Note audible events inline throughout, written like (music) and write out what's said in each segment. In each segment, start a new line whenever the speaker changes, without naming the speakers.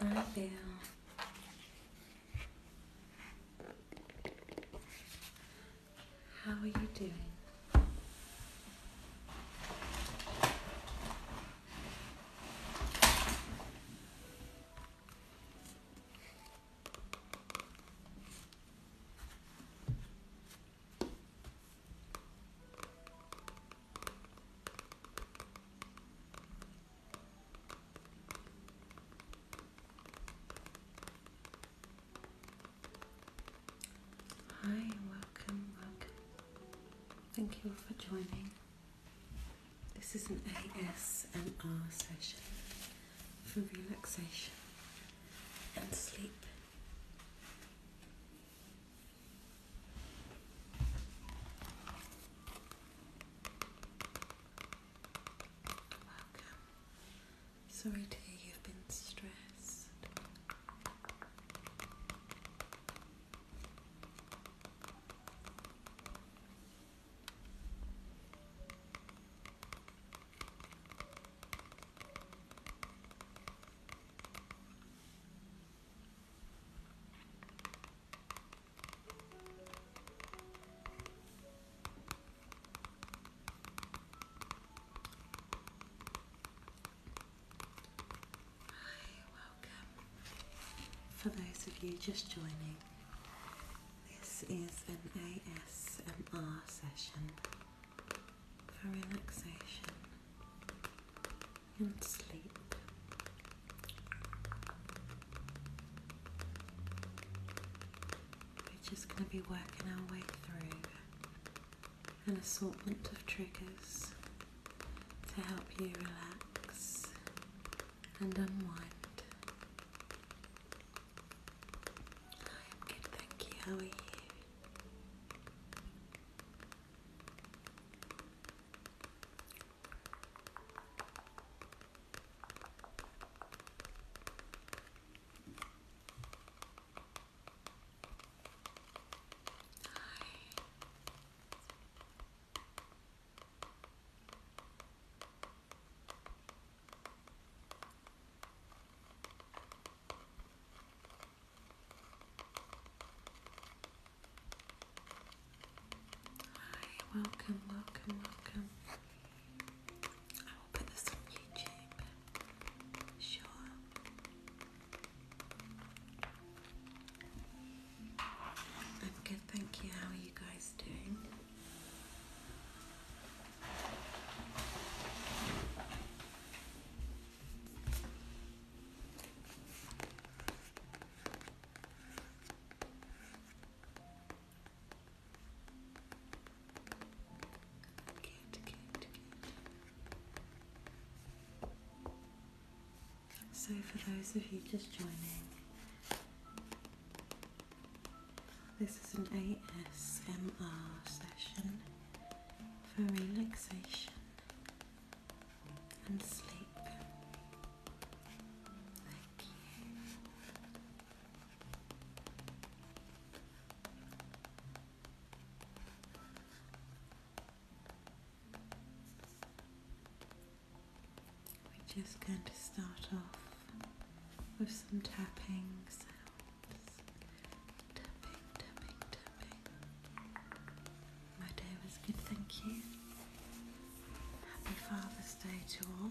Hi there. How are you doing? Hi, welcome, welcome. Thank you for joining. This is an ASMR session for relaxation and sleep. Welcome. Sorry to hear you've been stressed. Hi, welcome. For those of you just joining, this is an ASMR session for relaxation and sleep. We're just going to be working our way through an assortment of triggers to help you relax and unwind. I am good, thank you. How are you? Hi. Hi, welcome, welcome, welcome. I will put this on YouTube. Sure. I'm good, thank you. How are you guys doing? So, for those of you just joining, this is an ASMR session for relaxation and sleep. Thank you. We're just going to start off with some tapping sounds. Tapping, tapping, tapping. My day was good, thank you. Happy Father's Day to all.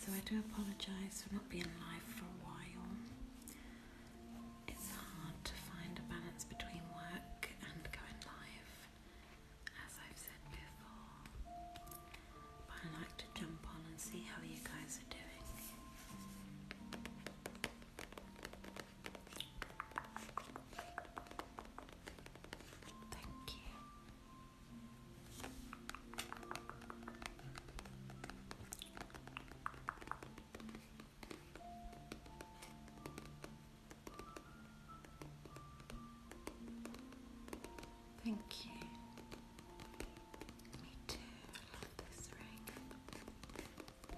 So I do apologise for not being live for a while. It's hard to find a balance between work and going live, as I've said before. But I like to jump on and see how you guys are doing. Thank you. Thank you. Me too. I love this ring. Oh,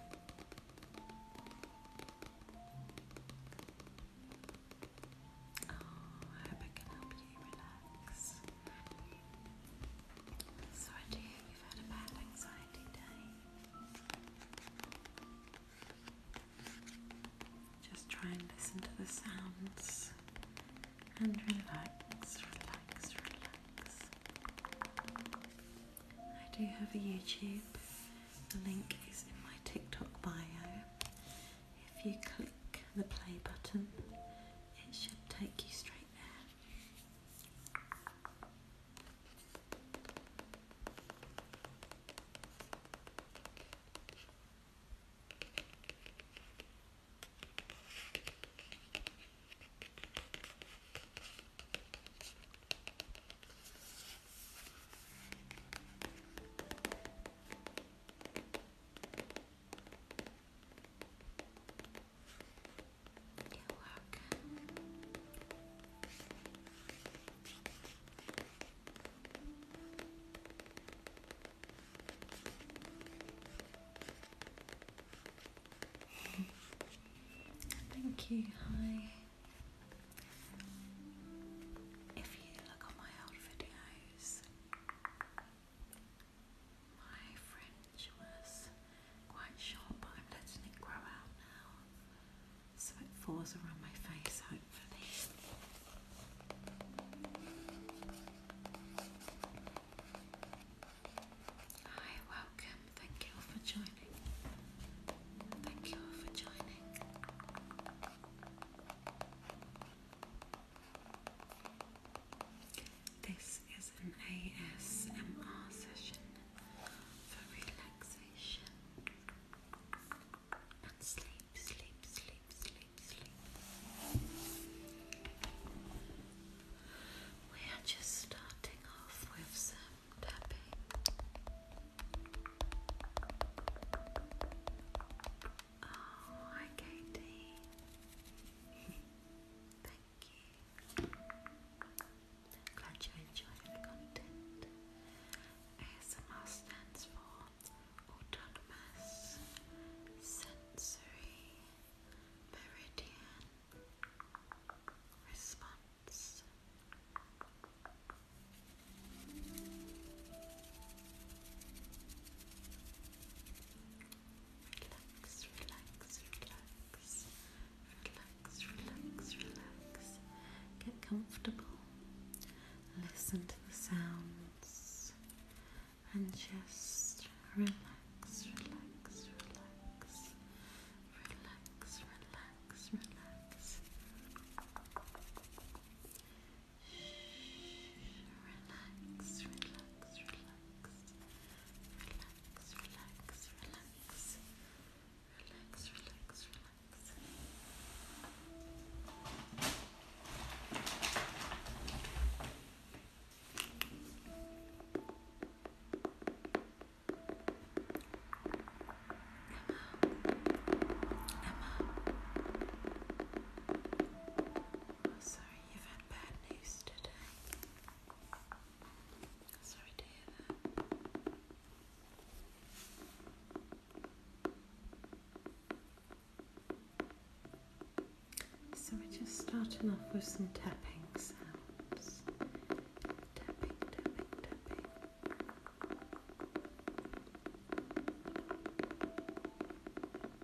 I hope I can help you. Just try and listen to the sounds and relax, relax, relax. I do have a YouTube. The link is in my TikTok bio. If you click the play button, it should take you straight there. (laughs) Thank you. Hi. If you look on my old videos, my French was quite short, but I'm letting it grow out now so it falls around my face, Hi, welcome. Thank you all for joining. Thank you all for joining. This is an ASMR session for relaxation and sleep, sleep, sleep, sleep, sleep. We are just starting off with some tapping. Oh, hi Katie. (laughs) Thank you. Glad you enjoyed the content. ASMR stands for Autonomous Sensory Meridian Response. Relax, relax, relax. Relax, relax, relax. Get comfortable. Listen to the sounds and just relax, relax, relax. Relax, relax, relax. Shh, relax, relax, relax relax, relax, relax, relax, relax, relax. Emma, Emma. Oh, sorry, you've had bad news today. So we're just starting off with some tapping sounds. Tapping, tapping, tapping.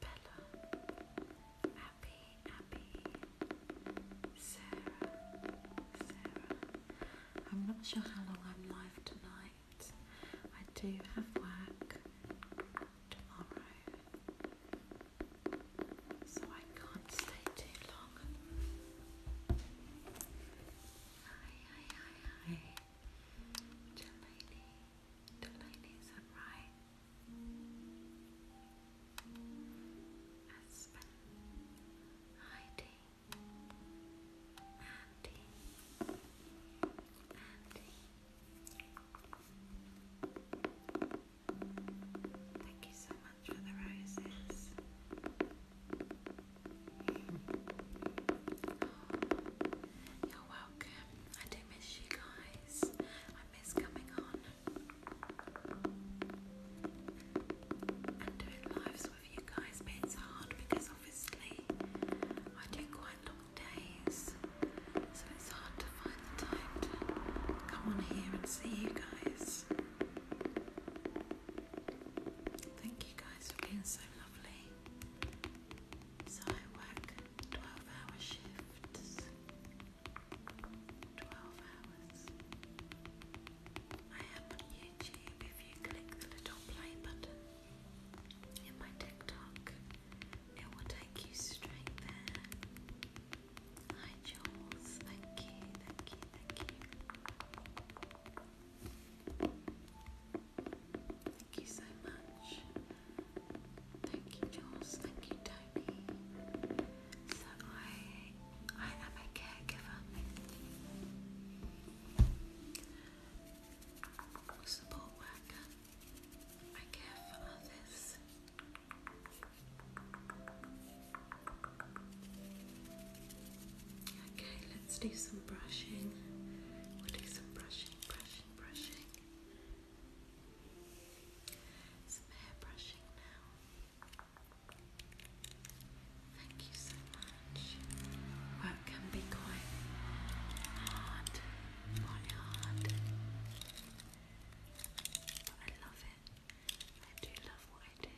Bella, Abby, Abby, Sarah, Sarah. I'm not sure how long I'm live tonight. I do have work tomorrow, so I can't stay too long. Hi, hi, hi, hi. Jelani. The ladies are right. Aspen, Heidi, Andy, Andy. Thank you so much for the roses. you're welcome. I do miss you guys is coming on and doing lives with you guys, it's hard because obviously I do quite long days, so it's hard to find the time to come on here and see you guys. Thank you guys for being so lovely. So I work twelve hour shifts. Twelve hours. I am on YouTube if you click the little play button in my TikTok. It will take you straight there. Hi Jules, thank you, thank you, thank you. Thank you so much. Thank you, Jules. Thank you, Tony. So I, I am a caregiver. Support worker. I care for others. Okay, let's do some brushing. We'll do some brushing, brushing, brushing. Some hair brushing now. Thank you so much. Work can be quite hard, quite hard. But I love it. I do love what I do.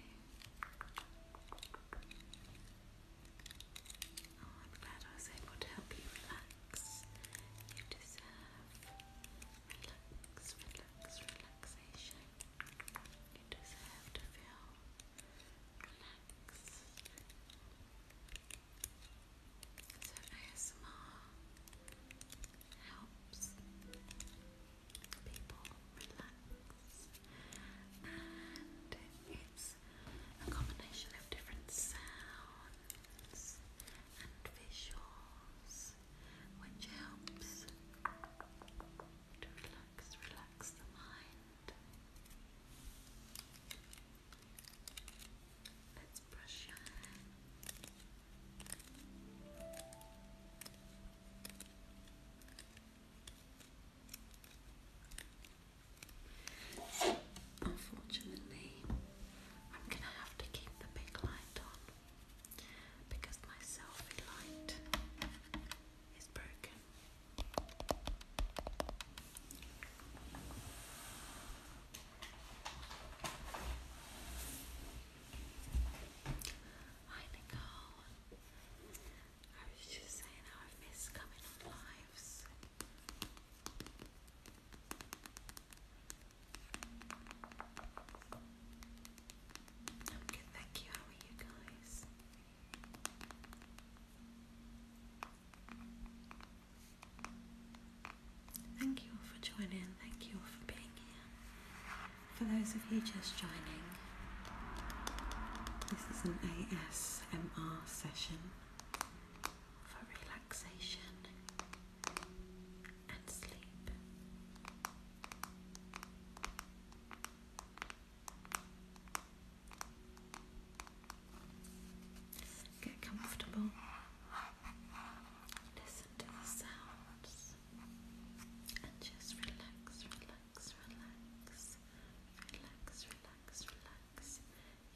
Oh, I'm glad I was able to help you relax. You deserve relax, relax, relaxation. You deserve to feel relaxed. So ASMR helps people relax and it's a combination of different sounds and visuals which helps to relax, relax the mind. Let's brush your hair. Unfortunately, I'm going to have to keep the big light on because my selfie light is broken. I was just saying how I've missed coming on lives thank you. How are you guys? Thank you all for joining. Thank you all for being here. For those of you just joining, this is an ASMR session for relaxation and sleep. Get comfortable. Listen to the sounds and just relax, relax, relax, relax, relax, relax.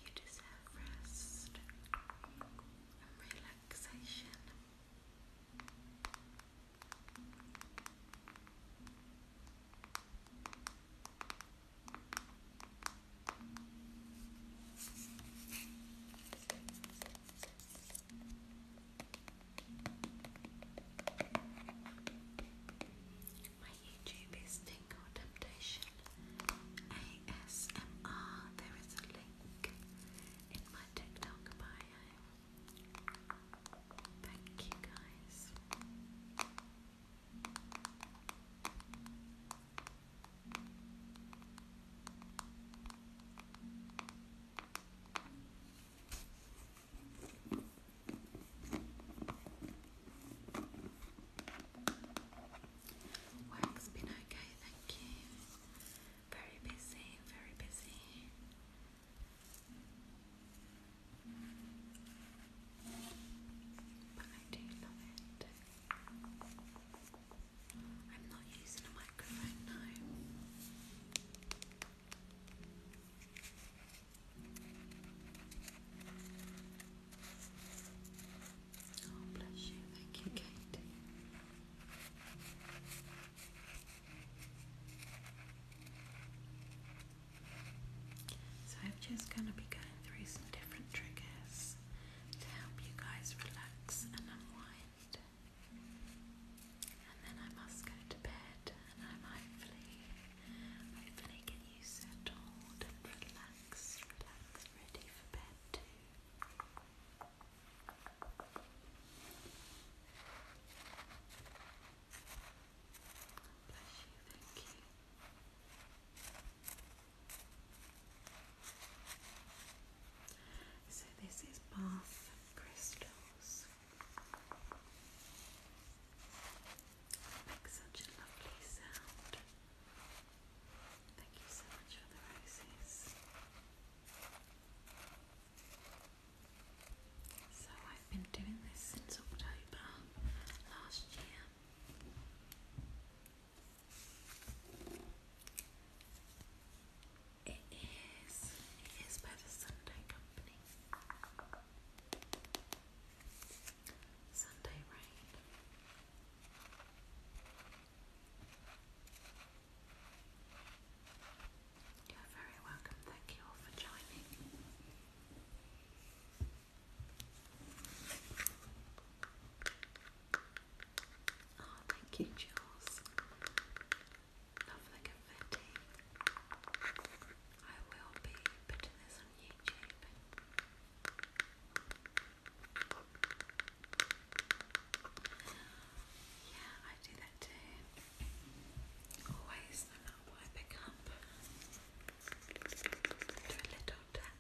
You deserve rest and relaxation. My YouTube is Tingle Temptation ASMR. There is a link in my TikTok bio. Thank you guys. Work's been okay, thank you. Very busy, very busy. But I do love it. I'm not using a microphone now. Oh, bless you. Thank you, Kate. So I'm just going to be going through some different triggers to help you guys relax and unwind. And then I must go to bed and I'm hopefully, hopefully get you settled and relaxed, relaxed, ready for bed too thank you. So this is bath crystals. Make such a lovely sound. Thank you so much for the roses. So I've been doing this since October last year. It is, it is by the Sunday Company. Sunday Rain. You're very welcome. Thank you all for joining. Oh, thank you, Jules. Lovely confetti. I will be putting this on YouTube. Yeah, I do that too. Always, no matter what I pick up, do a little tap.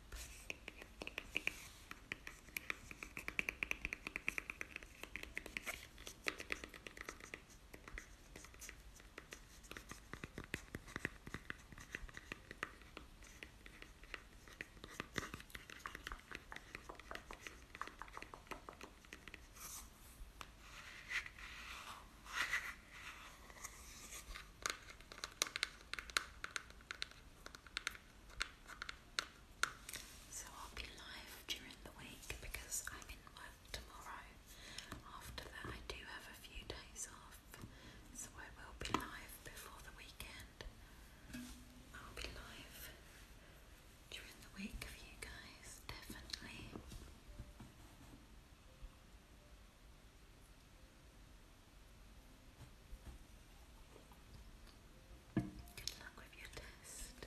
So I'll be live during the week because I'm in work tomorrow. After that, I do have a few days off, so I will be live before the weekend. I'll be live during the week for you guys, definitely. Good luck with your test.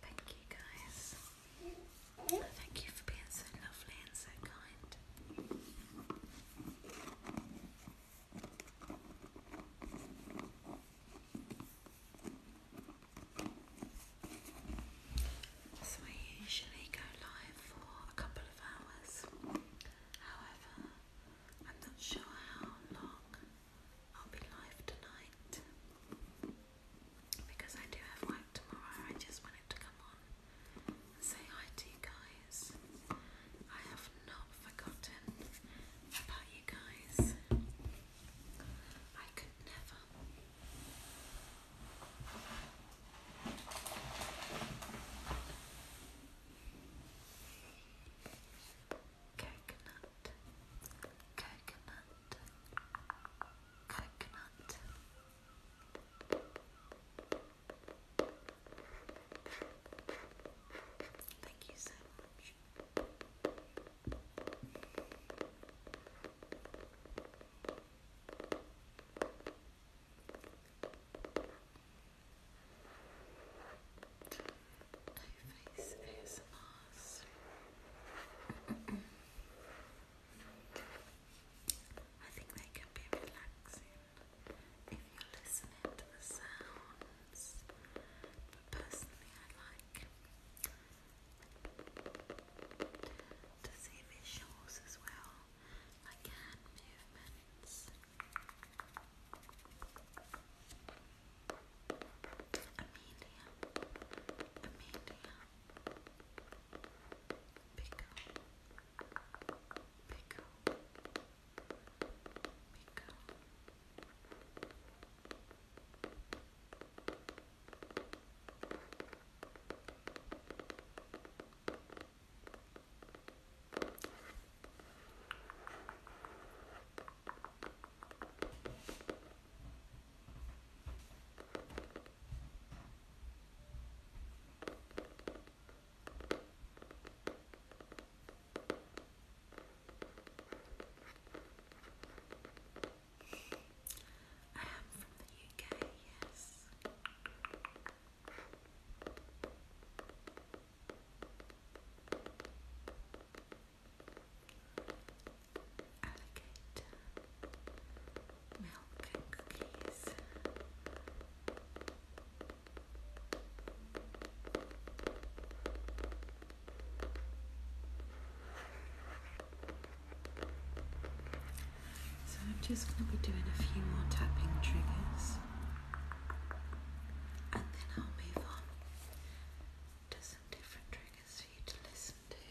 thank you guys. Thank you for being so lovely and so kind. So I usually go live for a couple of hours. However, I'm not sure how long I'll be live tonight because I do have work tomorrow. I just wanted to come on and say hi to you guys. I have not forgotten about you guys. I could never. Coconut, coconut, Thank you so much. No face ASMRs. I think they can be relaxing if you're to the sounds, personally, I like to see visuals as well, like hand movements. Amelia, Amelia, pickle, pickle, pickle, Pickle, I am from the UK, yes. So I'm just going to be doing a few more tapping triggers and then I'll move on to some different triggers for you to listen to.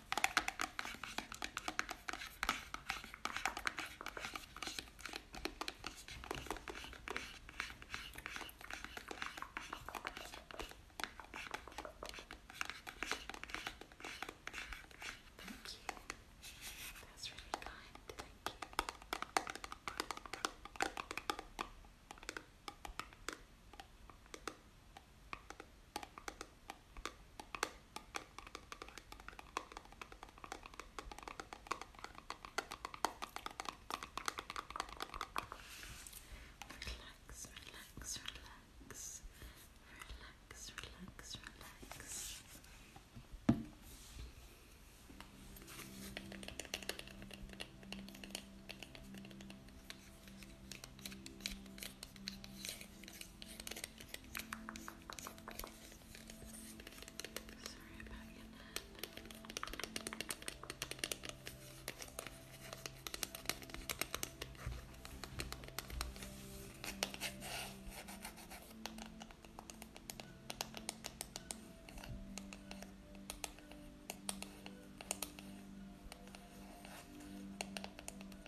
Thank you. That's really kind. Thank you. Relax, relax, relax, relax, relax, relax. Good. Sorry about your neck. Okay.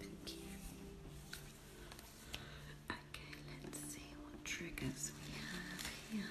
Okay, let's see what triggers we have here.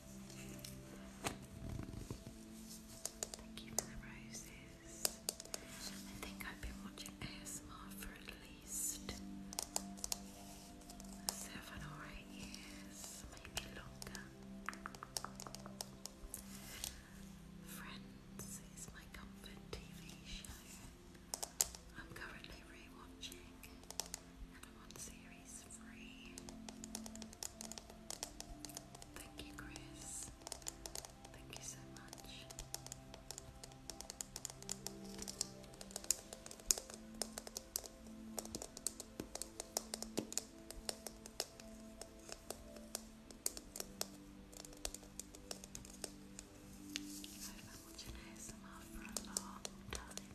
Thank you for the roses. I think I've been watching ASMR for at least seven or eight years, maybe longer. Friends is my comfort TV show. I'm currently rewatching Thank you, Chris. Thank you so much. I've been watching ASMR for a long time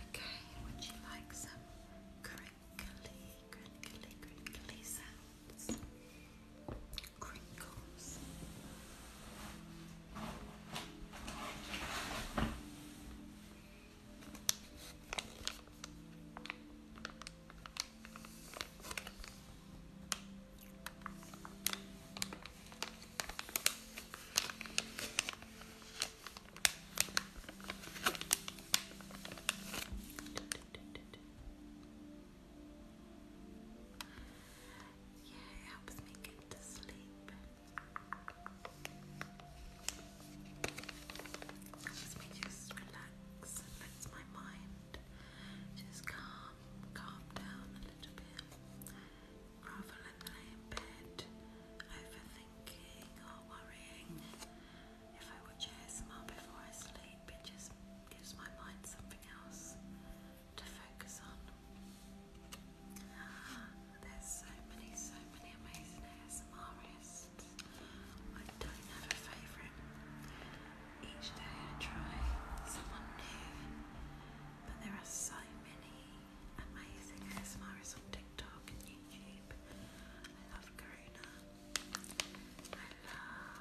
okay, would you like some crinkly, crinkly, crinkly sound? crinkles. Yeah, it helps me get to sleep. It helps me just relax and my mind just calm, calm down a little bit. Rather than lay overthinking or worrying. If I watch ASMR before I sleep, just gives my mind something else to focus on. Ah, there's so many, so many amazing ASMR I don't have a favourite. Each day I try someone new, but there are so many amazing ASMRs on TikTok and YouTube. I love Karuna. I love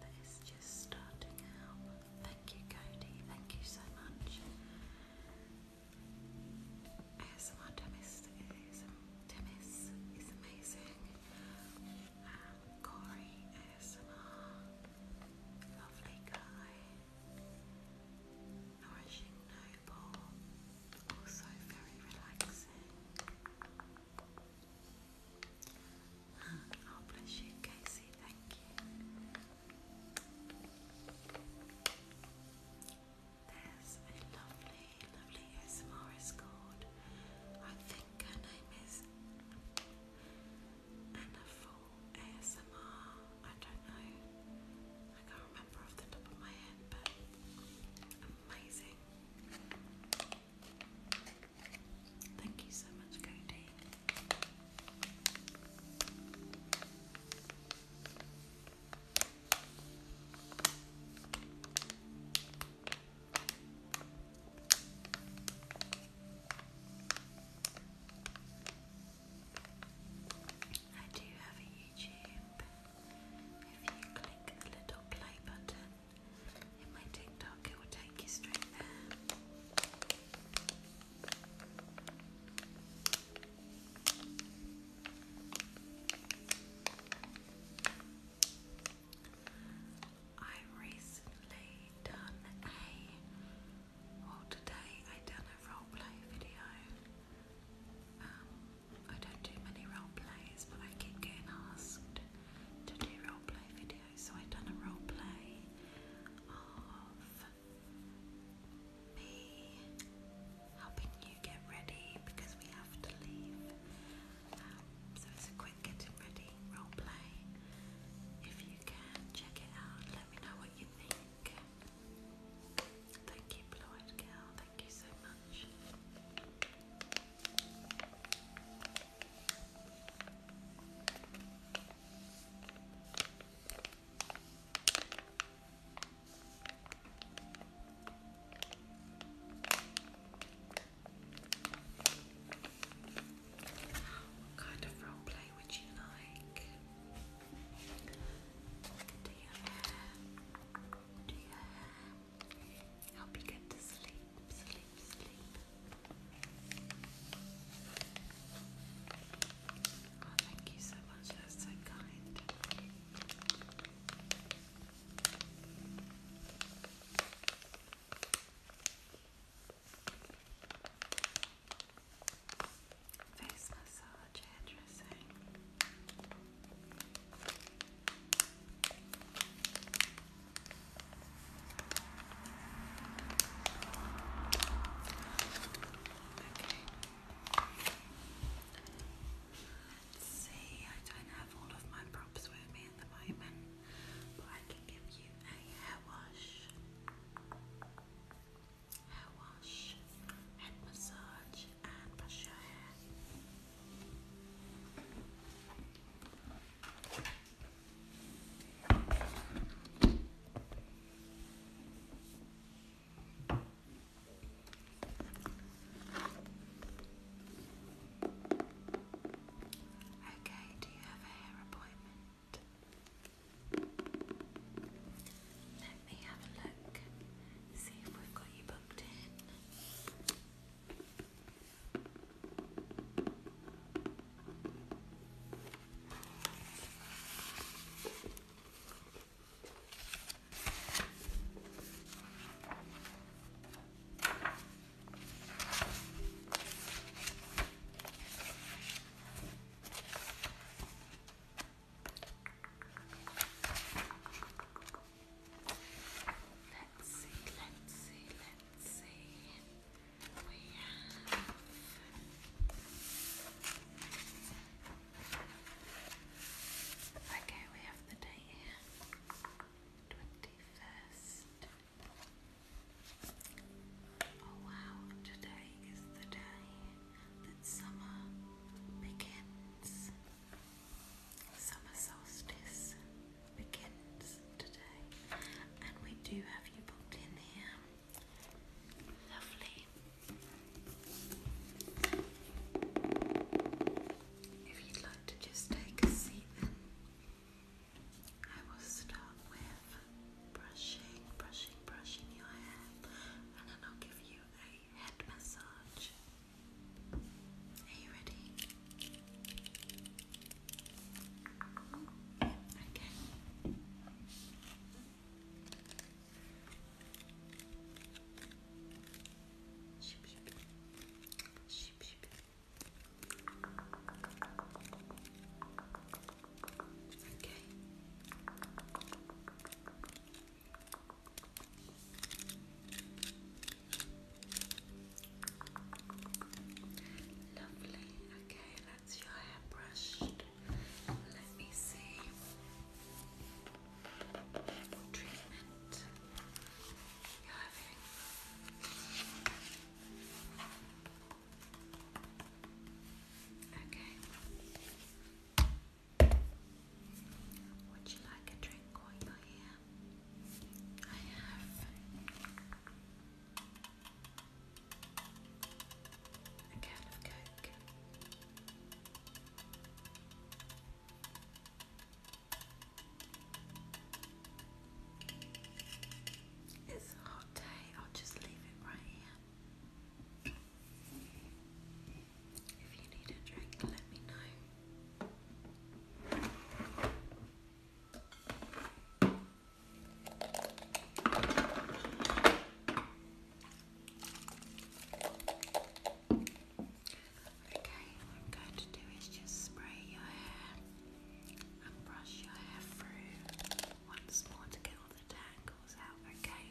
that is just starting out. Thank you, Cody. Thank you so much. ASMR is, amazing. Um, Corey ASMR, lovely guy. Nourishing Noble, also very relaxing. Oh, bless you, Casey, thank you. There's a lovely, lovely ASMR escort. I think her name is Anna Full ASMR. I don't know. I can't remember off the top of my head, but amazing. Thank you so much, Cody. I do have a YouTube. If you click the little play button, in my TikTok, it will take you straight there. I recently done a well today I done a role video. Um, I don't do many role but I keep getting asked to do role videos. So I've done a role play of me helping you get ready because we have to leave. Um, so it's a quick getting ready role play. If you can check it out, let me know what you think. Thank you, Blue Eyed Girl. Thank you so much. What kind of role would you like? Do your Do your hair? Help you to sleep sleep, sleep. thank you so much. That's so kind. Face massage, hairdressing. Let's see, I don't have all of my props with me at the moment, but I can give you a hair wash, hair wash, head massage, and brush your hair. Okay, do you have a hair appointment? Let me have a look, see if we've got you booked in. Let's see, let's see, let's see we have Okay, we have the date here. Twenty first. Oh wow, today is the day that summer begins. Summer solstice begins today, and we do have you booked in here. Lovely. If you'd like to just take a seat, then I will start with brushing, brushing, brushing your hair, and then I'll give you a head massage. Are you ready? Okay. Sheep, Lovely. Okay, that's your hair brushed. Let me see. What treatment Okay. Would you like a drink while you're here? I have it's a hot day, I'll just leave it right here. If you need a drink, let me know. Okay, what I'm going to do is just spray your hair and brush your hair through once more to get all the tangles out, okay?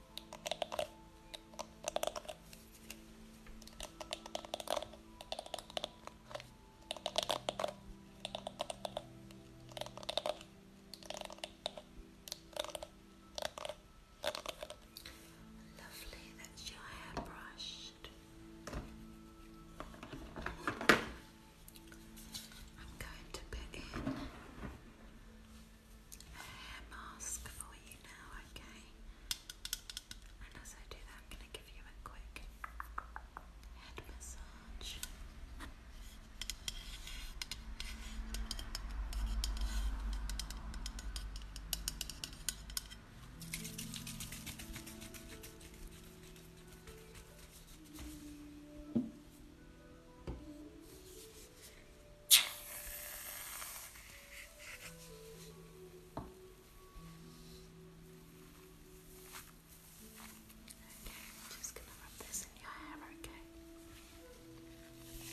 Lovely, that's your hair brushed. I'm going to put in a hair mask for you now, okay? And as I do that, I'm going to give you a quick head massage. I'm just gonna rub this in your hair, okay? Okay.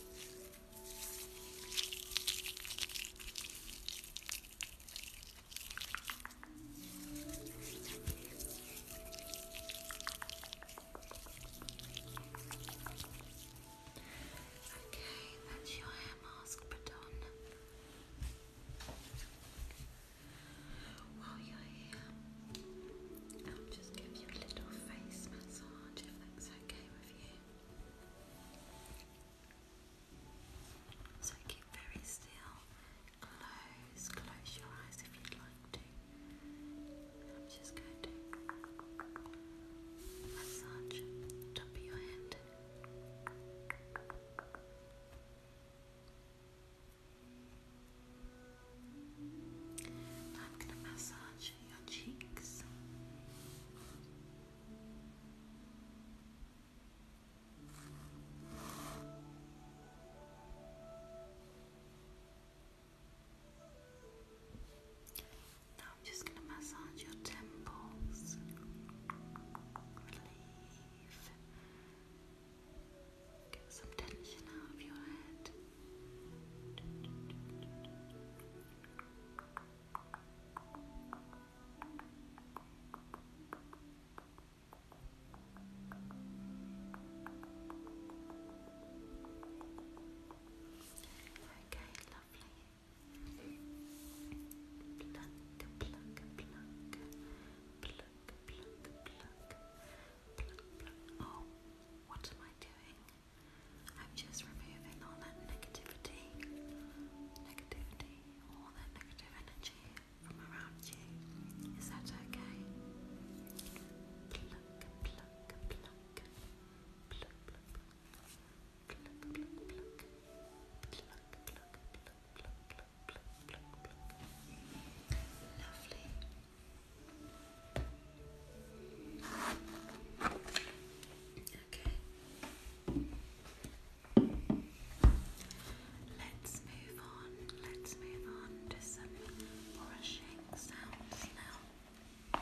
Okay, that's your hair mask put While you're here, I'll just give you a little face massage if that's okay with you. So keep very still. Close, close your eyes if you'd like to. I'm just going to massage top your head. I'm going to massage your cheeks. Now I'm just going to massage your temples. Relieve. Get some tension out of your head. Okay, lovely. Plunk, plunk, plunk, plunk, plunk, plunk, plunk, Oh, what am I doing? I'm just removing all that negativity, negativity, all that negative energy from around you. Is that okay? Lovely. Okay. Let's move on. Let's move on to some brushing sounds now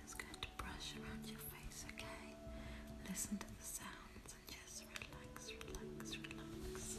just going to brush around your face, okay? Listen to the sounds and just relax, relax, relax.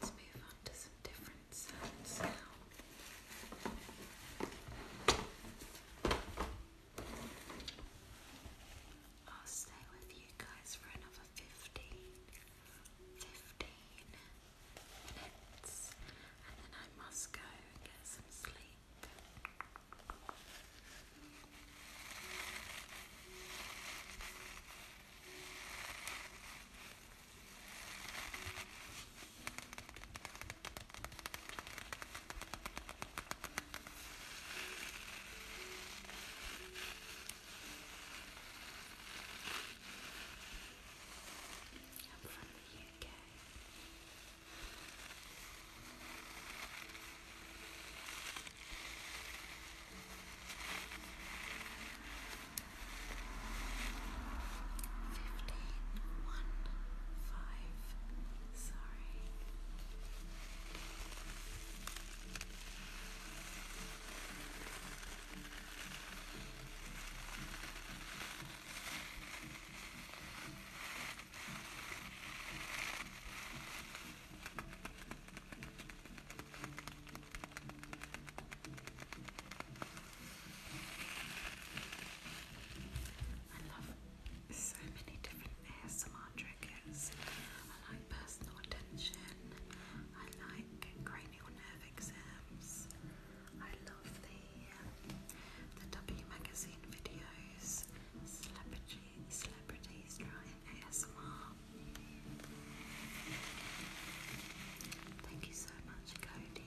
Let's move on to some different sounds now. I'll stay with you guys for another fifteen. 15 minutes, and then I must go and get some sleep. I'm from the UK. Fifteen one five. Sorry. Fifteen I love so many different ASMR triggers. I personal attention. I like cranial nerve exams. I love the the W magazine videos, celebrity celebrities trying ASMR. Thank you so much, Cody.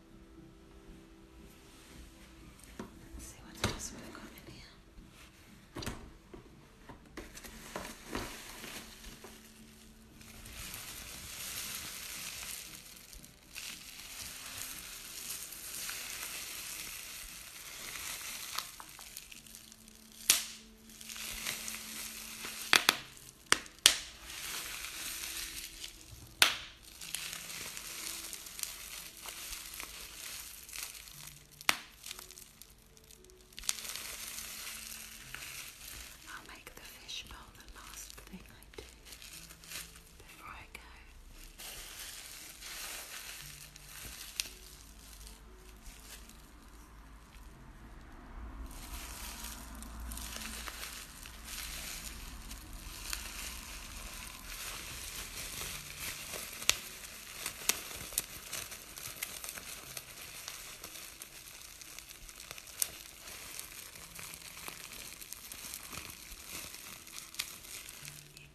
Let's see what else we've got in here. I'll make the fish bowl the last thing I do before I go.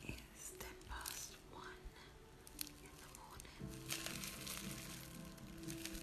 It is ten past one in the morning.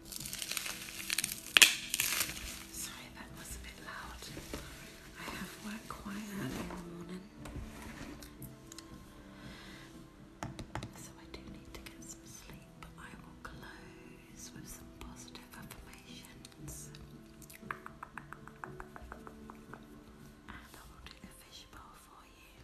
Sorry, that was a bit loud. I have worked quite early in the morning. So I do need to get some sleep. But I will close with some positive affirmations. And I will do the fishbowl for you.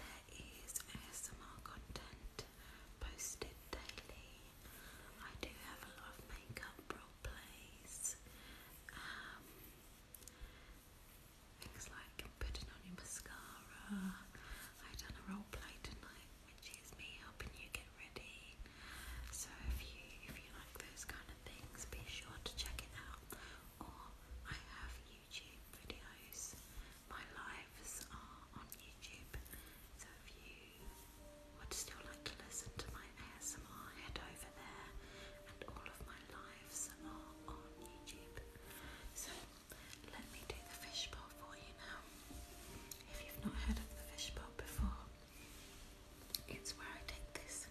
There is ASMR content posted daily. I do have a lot of makeup role plays, um, things like putting on your mascara. i done a role play tonight, which is me helping you get ready. So if you if you like those kind of things, be sure to check it out. Or I have YouTube videos. My lives are on YouTube, so if you would still like to listen to my ASMR, head over there, and all of my lives are on YouTube. So let me do the fishbowl for you now. If you've not heard of the fishbowl before, it's where I take this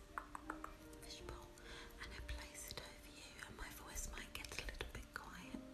fishbowl and I place it with you, my voice might get a little bit quiet.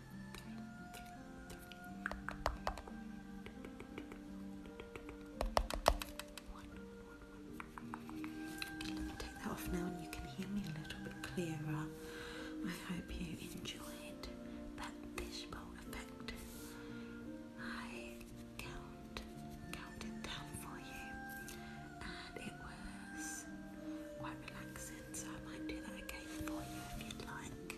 Take that off now, and you can hear me a little bit clearer. I hope you enjoyed that fishbowl effect. I counted down for you, and it was quite relaxing. So I might do that again for you if you'd like.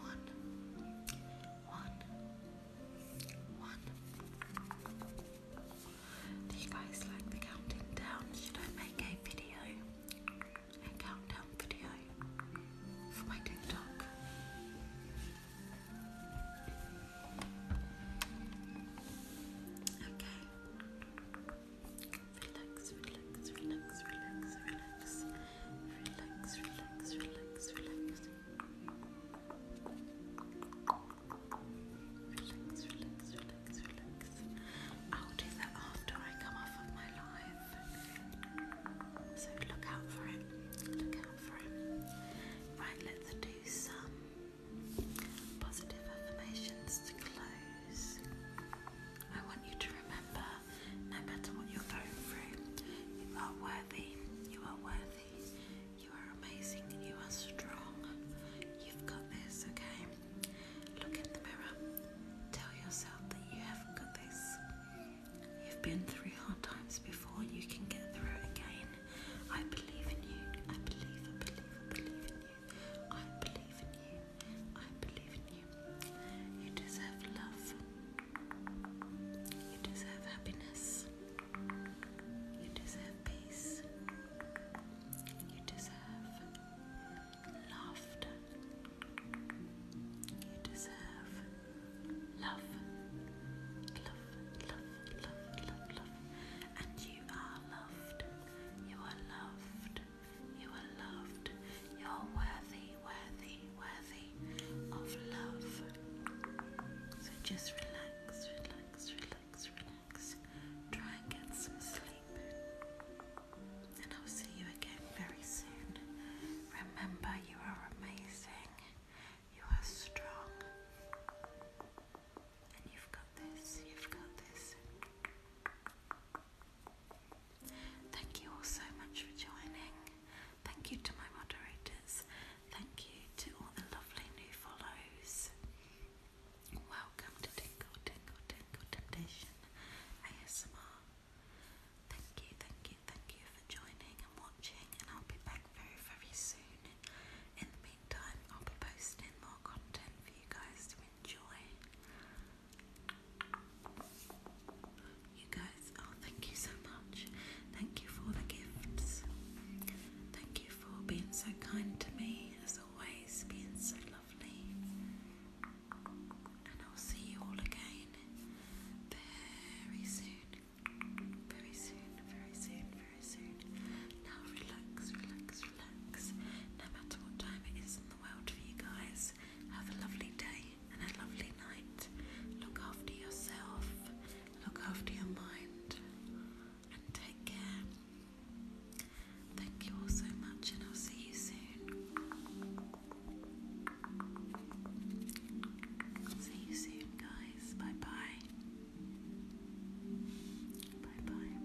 one, one, one. Do you guys like the counting Should I make a video? A countdown video for my TikTok? Okay. Relax, relax, relax, relax, relax. Relax, relax, relax, relax. Relax, relax, relax, relax. I'll do that after I come off of my live. So look out for it. Look out for it. Right, let's do some positive affirmations to close. I want you to remember no matter what you're going through, you are worthy, you are worthy, you are amazing, you are strong. You've got this, okay? Look in the mirror, tell yourself that you have got this. You've been through hard times before, you can get through it again. I believe in you, I believe, I believe, I believe in you. I believe in you. I believe in you. You deserve love. You deserve happiness. You deserve peace. You deserve laughter. You deserve love. Love, love, love, love, love. And you are loved. You are loved. You are loved. You're worthy worthy, worthy of love. So just relax, relax, relax, relax. Try and get some sleep. And I'll see you again very soon. Remember, you are amazing, you are strong, and you've got this, you've got this. Thank you all so much for joining. Thank you to my moderators. Thank you to all the lovely new follows. Welcome to Tingle Tingle Tingle Temptation ASMR. Thank you, thank you, thank you for joining and watching, and I'll be back very, very soon. In the meantime, I'll be posting more content for you guys to enjoy. You guys, oh, thank you so much. Thank you for the gifts. Thank you for being so kind to me, as always, being so lovely. And I'll see you all again very soon. Very soon, very soon, very soon. Now relax, relax, relax. No matter what time it is in the world for you guys, have a lovely day and a lovely night. Look after yourself, look after your mind, and take care. Thank you all so much, and I'll see you soon. See you soon, guys. Bye bye. Bye bye.